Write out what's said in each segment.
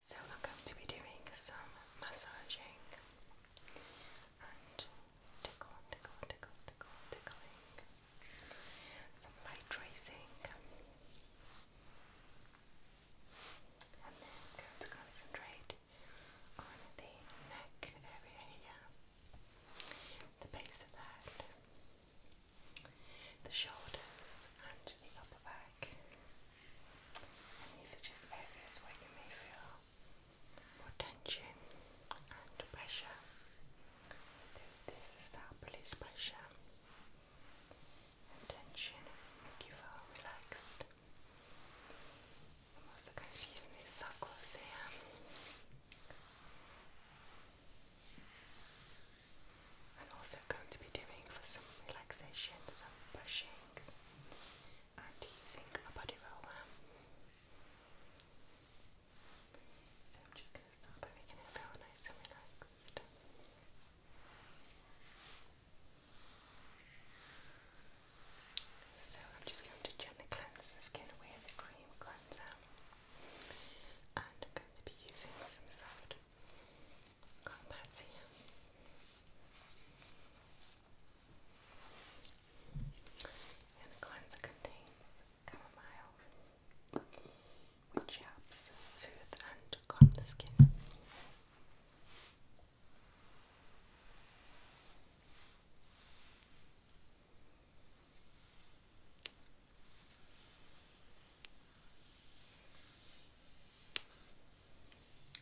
So I'm going to be doing some massaging and tickle, tickle, tickle, tickle, tickling, some light and then I'm going to concentrate on the neck area the base of the head, the shoulders, and the upper back. And these are just areas where you may feel more tension and pressure. This is how release pressure and tension make you feel relaxed. I'm also going to use these circles here. I'm also going to be doing some relaxation some brushing and using a body roller. So I'm just going to start by making it feel nice and relaxed. So I'm just going to gently cleanse the skin away with a cream cleanser and I'm going to be using some soft Got the cleanser contains chamomile, which helps soothe and calm the skin.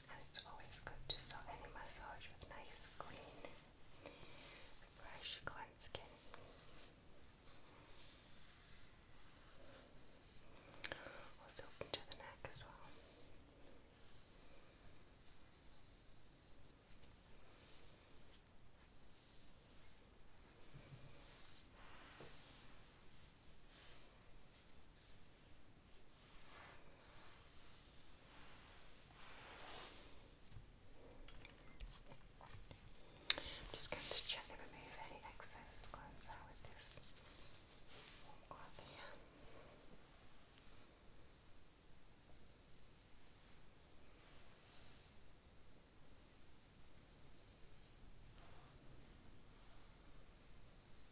And it's always good to start any massage with nice, clean, fresh, cleansed skin. Also open the neck as well. I'm just going to gently remove any excess cleanser with this warm cloth here.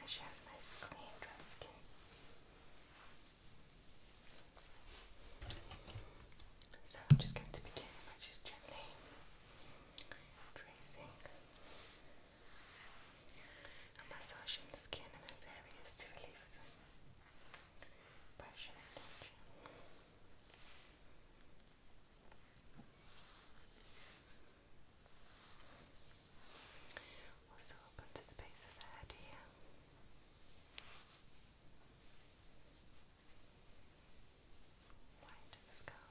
And she So I'm just going to begin by just gently tracing and massaging the skin in those areas to relieve Pressure and Also up onto the base of the head here. into the skull.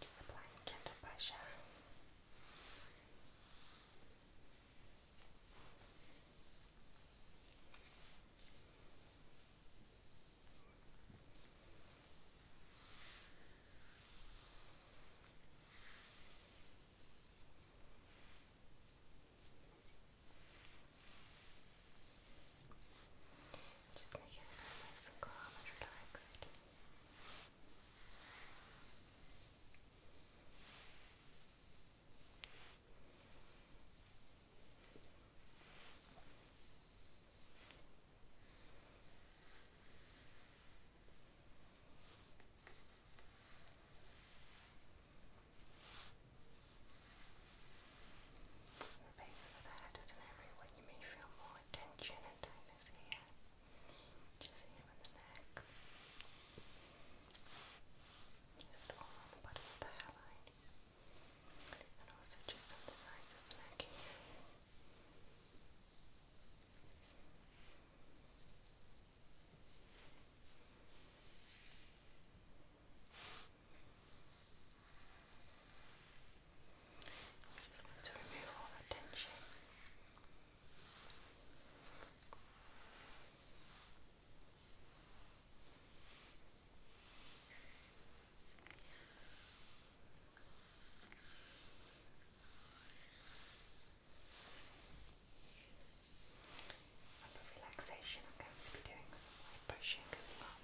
Just applying gentle pressure. Just make it nice and calm and relaxed. Your base of the head is an area you may feel more tension and tightness here. Just here the neck. Just all the bottom of the hairline. And also just on the sides of the neck I just want to remove all that tension. And for relaxation, I'm going to be doing some light brushing as well.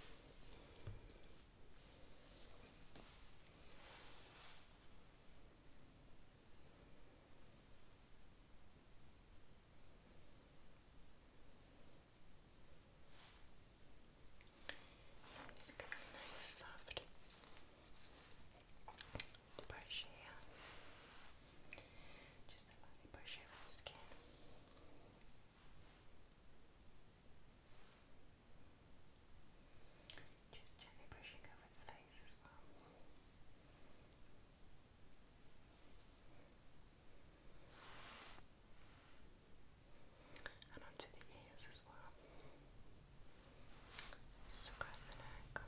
It's going to be a nice soft brush here. Just lightly brush over the skin. Good. Just gently brushing over the face as well. And onto the ears as well. across the neck.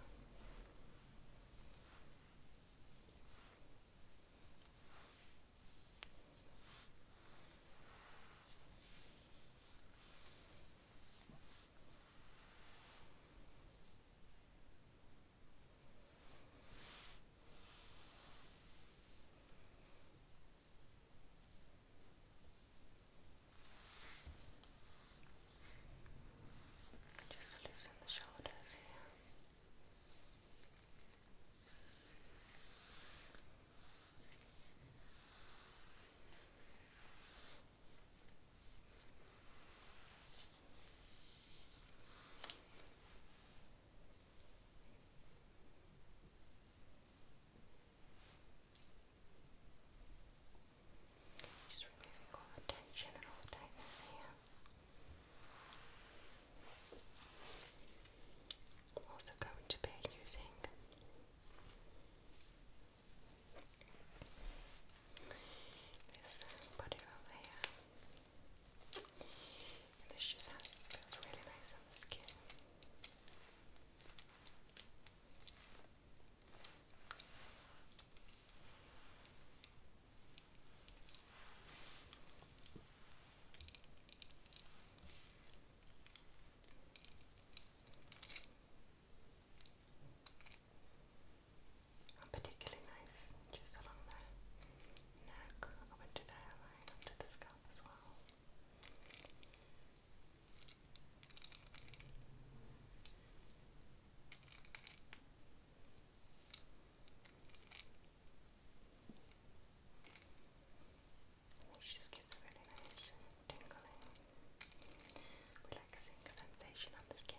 Just loosen the shoulders here. Just removing all the tension and all the tightness here. I'm also going to be using this body roll here. this just feels really nice on the skin. I'm particularly nice just along the neck, up into the hairline, up the scalp as well which just gives a really nice tingling, relaxing sensation on the skin.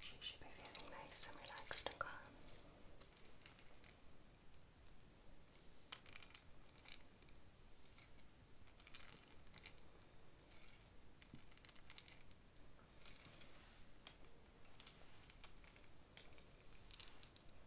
She should be feeling nice and relaxed and calm.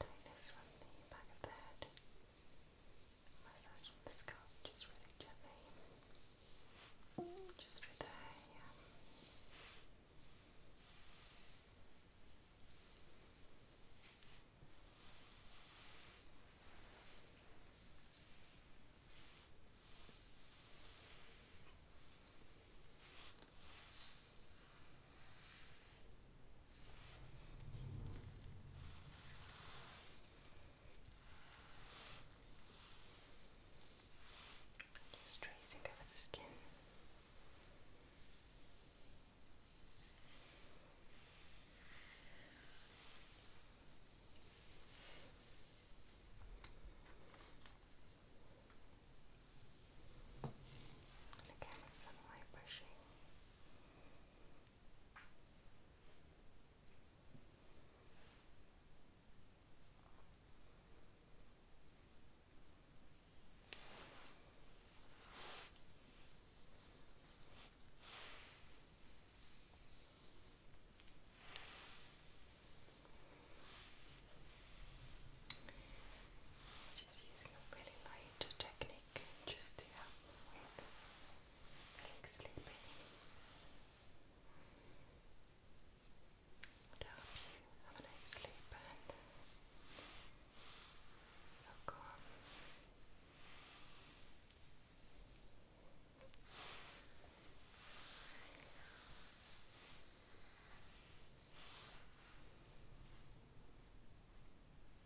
I'm from the back of the head. Massaging the scalp just really gently. Just through the hair, just tracing over the skin. The camera's suddenly brushing just using a really light technique. Okay, just to help with like sleeping. And have a nice sleep and feel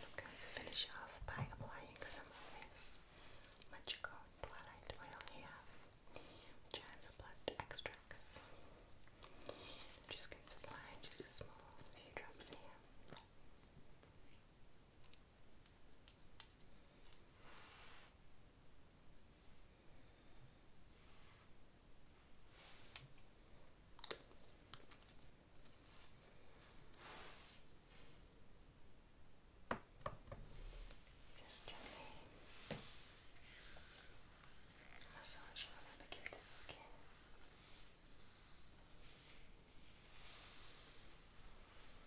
I'm going to finish off by applying some of this magical twilight oil here, which has blood extracts. just going to apply just a small few drops here. Just gently massaging on the back of the skin. Just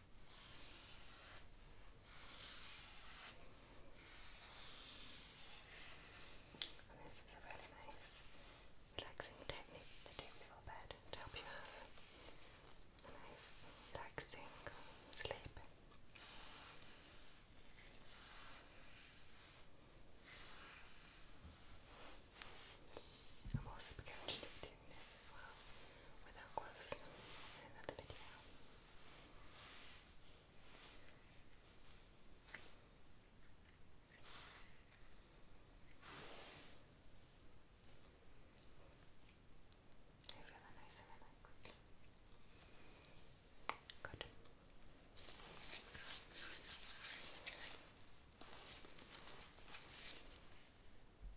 And this is a really nice relaxing technique to do before bed to help you have a nice relaxing sleep doing this as well without gloves in another video. They're really nice Good.